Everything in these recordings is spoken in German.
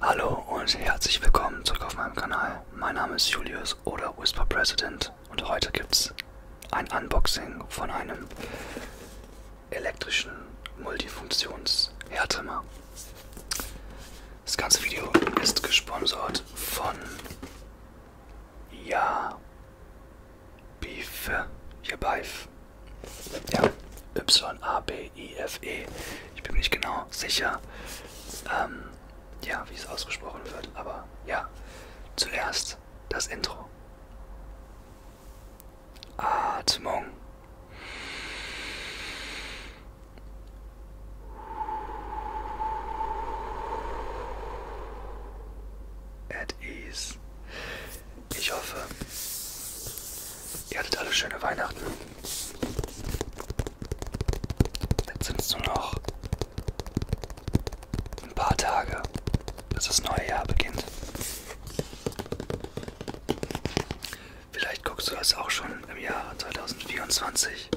Hallo und herzlich willkommen zurück auf meinem Kanal. Mein Name ist Julius oder Whisper President und heute gibt's ein Unboxing von einem elektrischen Multifunktions-Härtrimmer. Das ganze Video ist gesponsert von ja. Beef. Hierbeife. Ja. Y-A-B-I-F-E. Ich bin mir nicht genau sicher, ähm, ja, wie es ausgesprochen wird. Aber ja, zuerst das Intro. Atmung. At ease. Ich hoffe, ihr hattet alle schöne Weihnachten. Jetzt sind es nur noch ein paar Tage, bis das neue Jahr beginnt. Vielleicht guckst du das auch schon im Jahr 2024.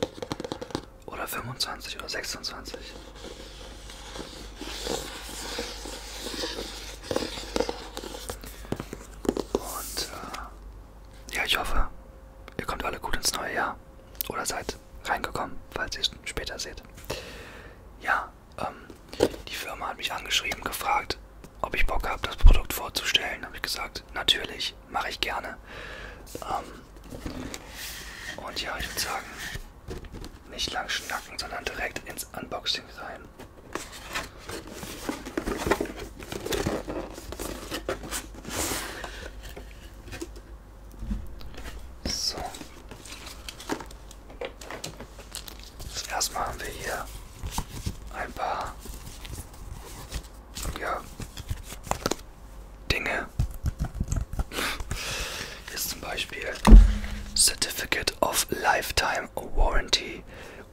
Oder 25 oder 26. Und äh, ja, ich hoffe, ihr kommt alle gut ins neue Jahr. Oder seid reingekommen, falls ihr es später seht. Ja, ähm, die Firma hat mich angeschrieben, gefragt, ob ich Bock habe, das Produkt vorzustellen. Habe ich gesagt, natürlich, mache ich gerne. Ähm, und ja, ich würde sagen, nicht lang schnacken, sondern direkt ins Unboxing rein. So. Also erstmal haben wir hier ein paar ja, Dinge. Hier Certificate of Lifetime Warranty.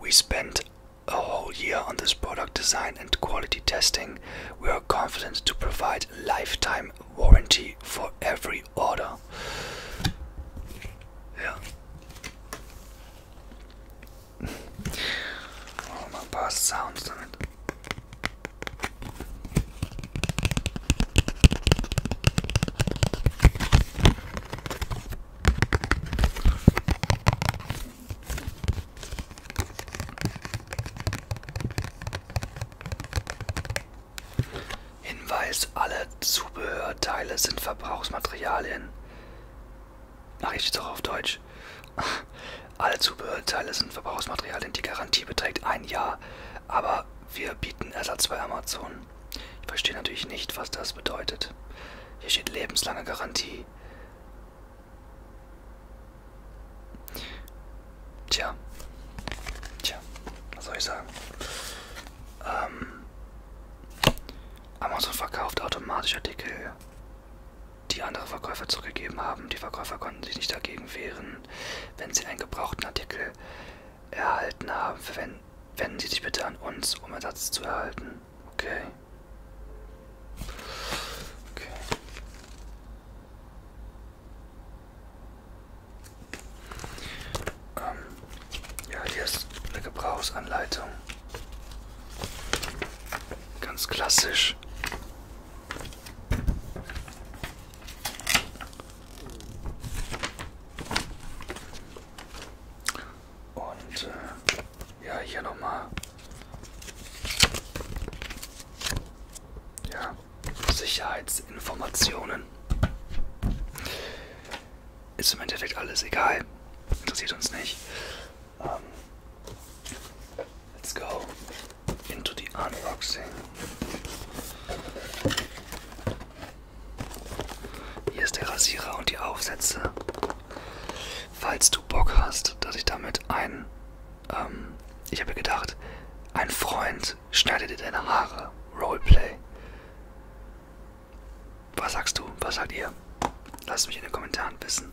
We spent a whole year on this product design and quality testing. We are confident to provide lifetime warranty for every order. Ja. Machen wir mal Sounds Hinweis, alle Zubehörteile sind Verbrauchsmaterialien. Ach, ich stehe doch auf Deutsch. Fleisch. Alle Zubehörteile sind Verbrauchsmaterialien, die Garantie beträgt ein Jahr, aber wir bieten Ersatz bei Amazon. Ich verstehe natürlich nicht, was das bedeutet. Hier steht lebenslange Garantie. Tja. Tja, was soll ich sagen? Ähm, Amazon verkauft automatisch Artikel die andere Verkäufer zurückgegeben haben. Die Verkäufer konnten sich nicht dagegen wehren, wenn sie einen gebrauchten Artikel erhalten haben. Wenn, wenden Sie sich bitte an uns, um Ersatz zu erhalten. Okay. Okay. Ähm, ja, hier ist eine Gebrauchsanleitung. Ganz klassisch. Und äh, ja, hier nochmal. Ja, Sicherheitsinformationen. Ist im Endeffekt alles egal. Interessiert uns nicht. Um, ähm, let's go into the unboxing. Hier ist der Rasierer und die Aufsätze. Falls du Bock hast, dass ich damit ein, ähm, ich habe gedacht, ein Freund schneidet dir deine Haare. Roleplay. Was sagst du? Was sagt ihr? Lasst mich in den Kommentaren wissen.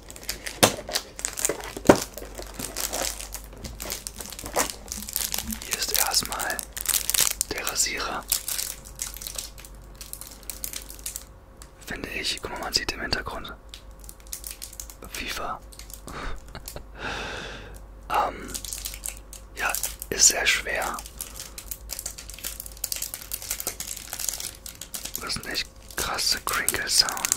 Hier ist erstmal der Rasierer. Finde ich, guck mal, man sieht im Hintergrund FIFA. ähm, ja, ist sehr schwer. Das sind echt krasse Crinkle Sounds.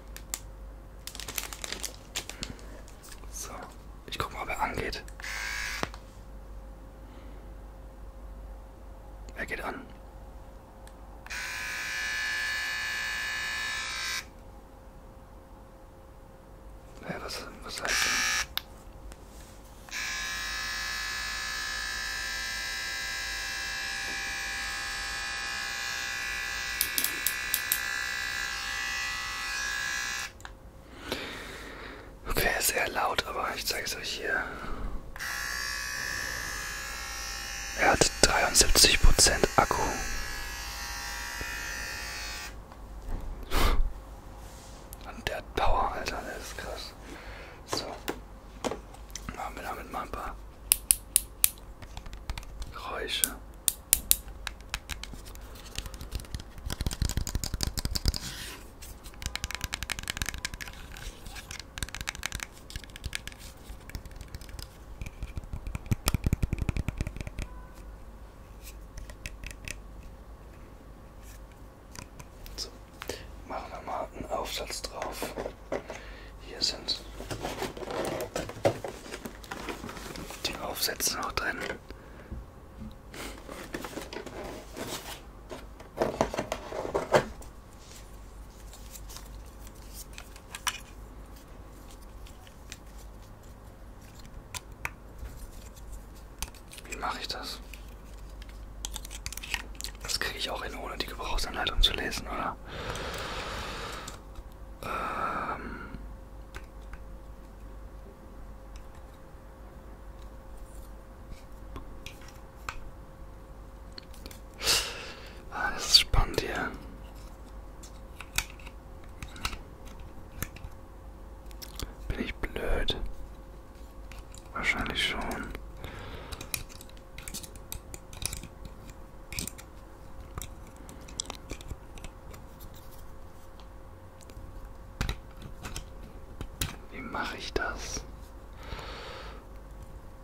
So, ich guck mal, ob er angeht. Er geht an. Hä, was, was heißt das? Okay, sehr laut, aber ich zeige es euch hier. Er hat 73% Akku. Und der hat Power, Alter, das ist krass. So. Machen wir damit mal ein paar Geräusche. So, machen wir mal einen Aufsatz drauf. Hier sind die Aufsätze noch drin. Wie mache ich das? Das kriege ich auch hin, ohne die Gebrauchsanleitung zu lesen, oder? Ähm ah, das ist spannend hier. Bin ich blöd? Wahrscheinlich schon. Wie mache ich das?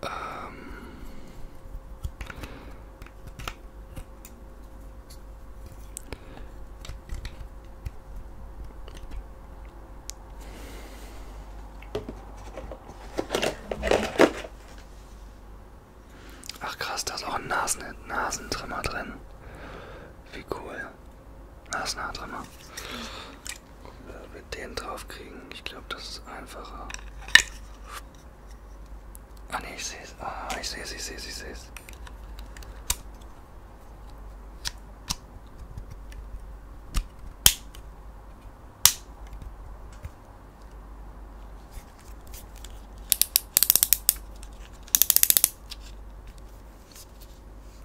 Ähm Ach krass, da ist auch ein Nasen Nasentrimmer drin. Wie cool. Nasenhaartrimmer. Ob wir den drauf kriegen. Ich glaube, das ist einfacher. Ah ne, ich sehe es. Ah, ich sehe es, ich sehe es, ich sehe es.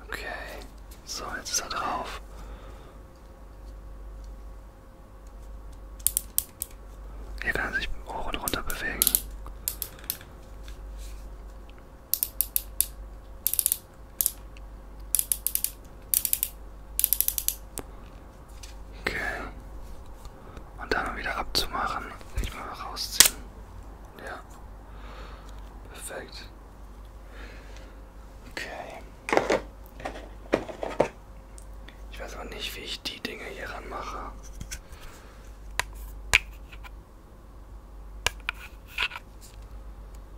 Okay, so jetzt ist er drauf. Hier kann er sich hoch und runter bewegen. Okay. Und dann wieder abzumachen. Nicht mal rausziehen. Ja. Perfekt. Okay. Ich weiß aber nicht, wie ich die Dinge hier ranmache.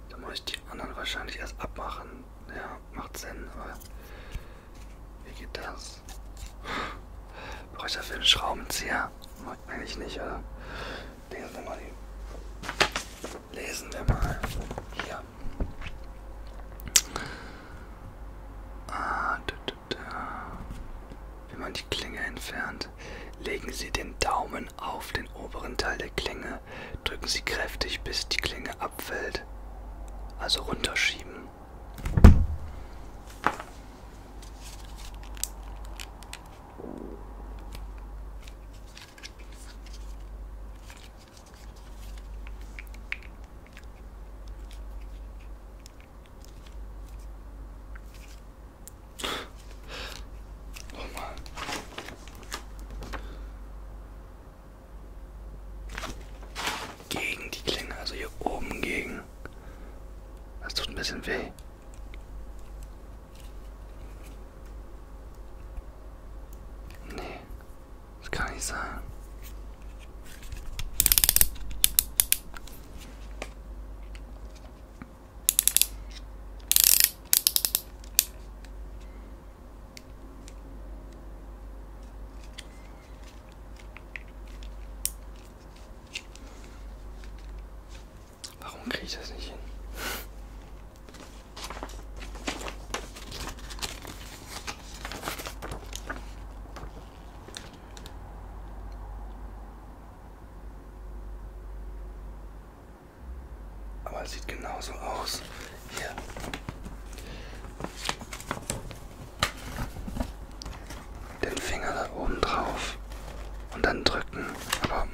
Da muss ich die anderen wahrscheinlich erst abmachen. Sinn. Ja, macht Sinn, aber wie geht das? Brauche ich dafür einen Schraubenzieher? Eigentlich nicht, oder? Lesen wir mal die. Lesen wir mal. Hier. Ah, da, da, da. Wenn man die Klinge entfernt, legen Sie den Daumen auf den oberen Teil der Klinge drücken Sie kräftig, bis die Klinge abfällt. Also runterschieben. Gegen die Klinge, also hier oben gegen. Das tut ein bisschen weh. Nee, das kann nicht sein. Warum kriege ich das nicht hin? Aber sieht genauso aus. Hier. Den Finger da oben drauf. Und dann drücken. Aber.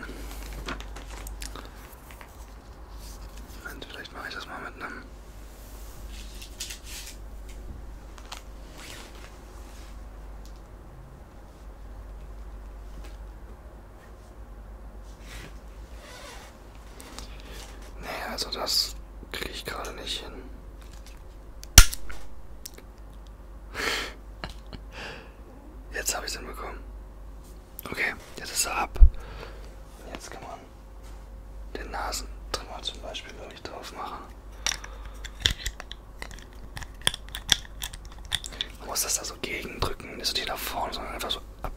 Moment, vielleicht mache ich das mal mit einem. Nee, also das kriege ich gerade nicht hin. Jetzt habe ich es hinbekommen. Okay, jetzt ist er ab. Jetzt kann man den Nasentrimmer zum Beispiel noch nicht drauf machen. Man muss das da so gegendrücken, nicht so nicht nach vorne, sondern einfach so ab.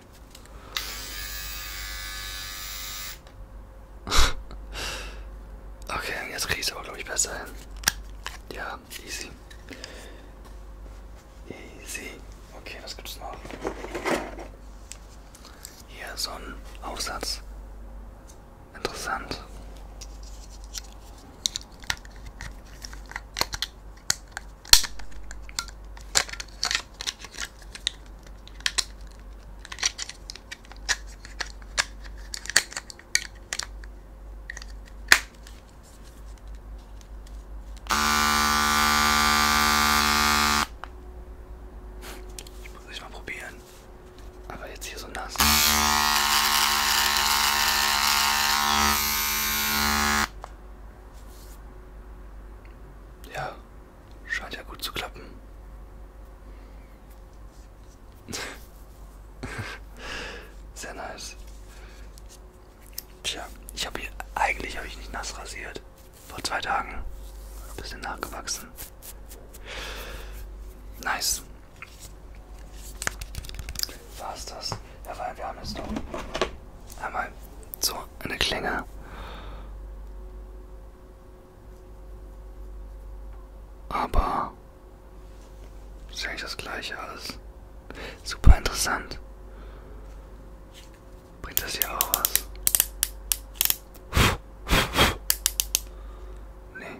Okay, jetzt kriege ich es aber, glaube ich, besser hin. Ja, easy. Easy. Okay, was gibt's noch? Hier so ein Aufsatz. Interessant. Ich muss es mal probieren. Aber jetzt hier so nass. Ja, Scheint ja gut zu klappen. Sehr nice. Tja, ich habe hier eigentlich habe ich nicht nass rasiert. Vor zwei Tagen. Ein bisschen nachgewachsen. Nice. War's das? Ja, weil wir haben jetzt noch einmal so, eine Klinge. Aber ist eigentlich das gleiche alles. Super interessant. Bringt das hier auch was? Nee.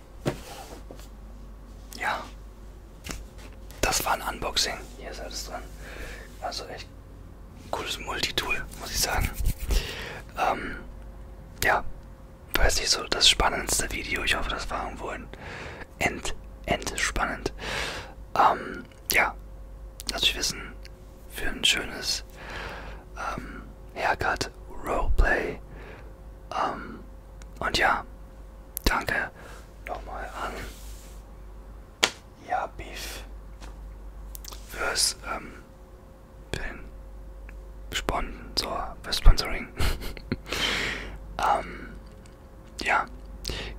Ja. Das war ein Unboxing. Hier ist alles dran. Also echt cooles Multitool, muss ich sagen. Ähm, ja. Weiß nicht so, das spannendste Video. Ich hoffe, das war irgendwo ein End, End spannend. Ähm, ja. Lasst euch wissen. Für ein schönes ähm, Haircut, Roleplay. Ähm, und ja, Danke nochmal an ja, Beef fürs ähm, für den Sponsor, für Sponsoring. ähm, ja,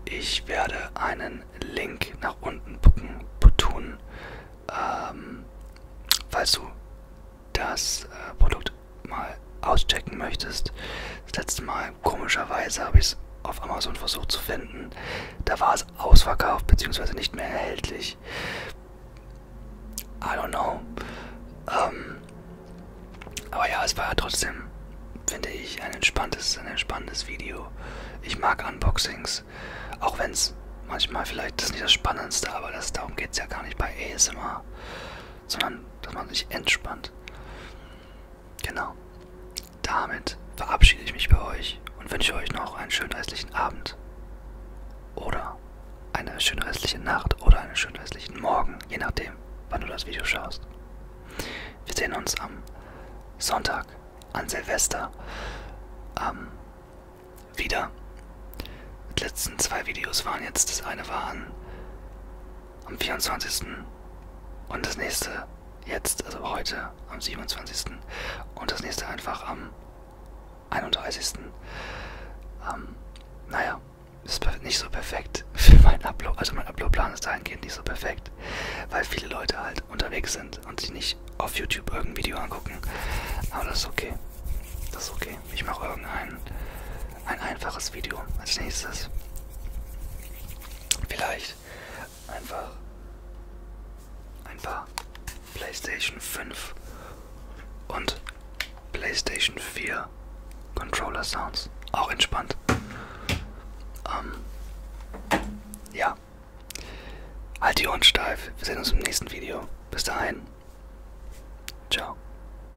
ich werde einen Link nach unten bucken, tun, ähm, falls du das äh, Produkt mal auschecken möchtest. Das letzte Mal, komischerweise, habe ich es auf Amazon versucht zu finden. Da war es ausverkauft bzw. nicht mehr erhältlich. I don't know. Ähm, aber ja, es war ja trotzdem, finde ich, ein entspanntes, ein entspanntes Video. Ich mag Unboxings, auch wenn es manchmal vielleicht das nicht das Spannendste, aber das, darum geht es ja gar nicht bei ASMR sondern dass man sich entspannt. Genau. Damit verabschiede ich mich bei euch und wünsche euch noch einen schönen restlichen Abend. Oder eine schöne restliche Nacht oder einen schönen restlichen Morgen, je nachdem, wann du das Video schaust. Wir sehen uns am Sonntag, an Silvester, ähm, wieder. Die letzten zwei Videos waren jetzt, das eine war an am 24. Und das nächste jetzt, also heute am 27. Und das nächste einfach am 31. Ähm, naja, ist nicht so perfekt für meinen Upload. Also mein Uploadplan ist dahingehend nicht so perfekt, weil viele Leute halt unterwegs sind und sich nicht auf YouTube irgendein Video angucken. Aber das ist okay. Das ist okay. Ich mache irgendeinen ein einfaches Video als nächstes. Vielleicht einfach ein paar PlayStation 5 und PlayStation 4 Controller Sounds. Auch entspannt. Ähm, ja. Halt die Ohren steif. Wir sehen uns im nächsten Video. Bis dahin. Ciao.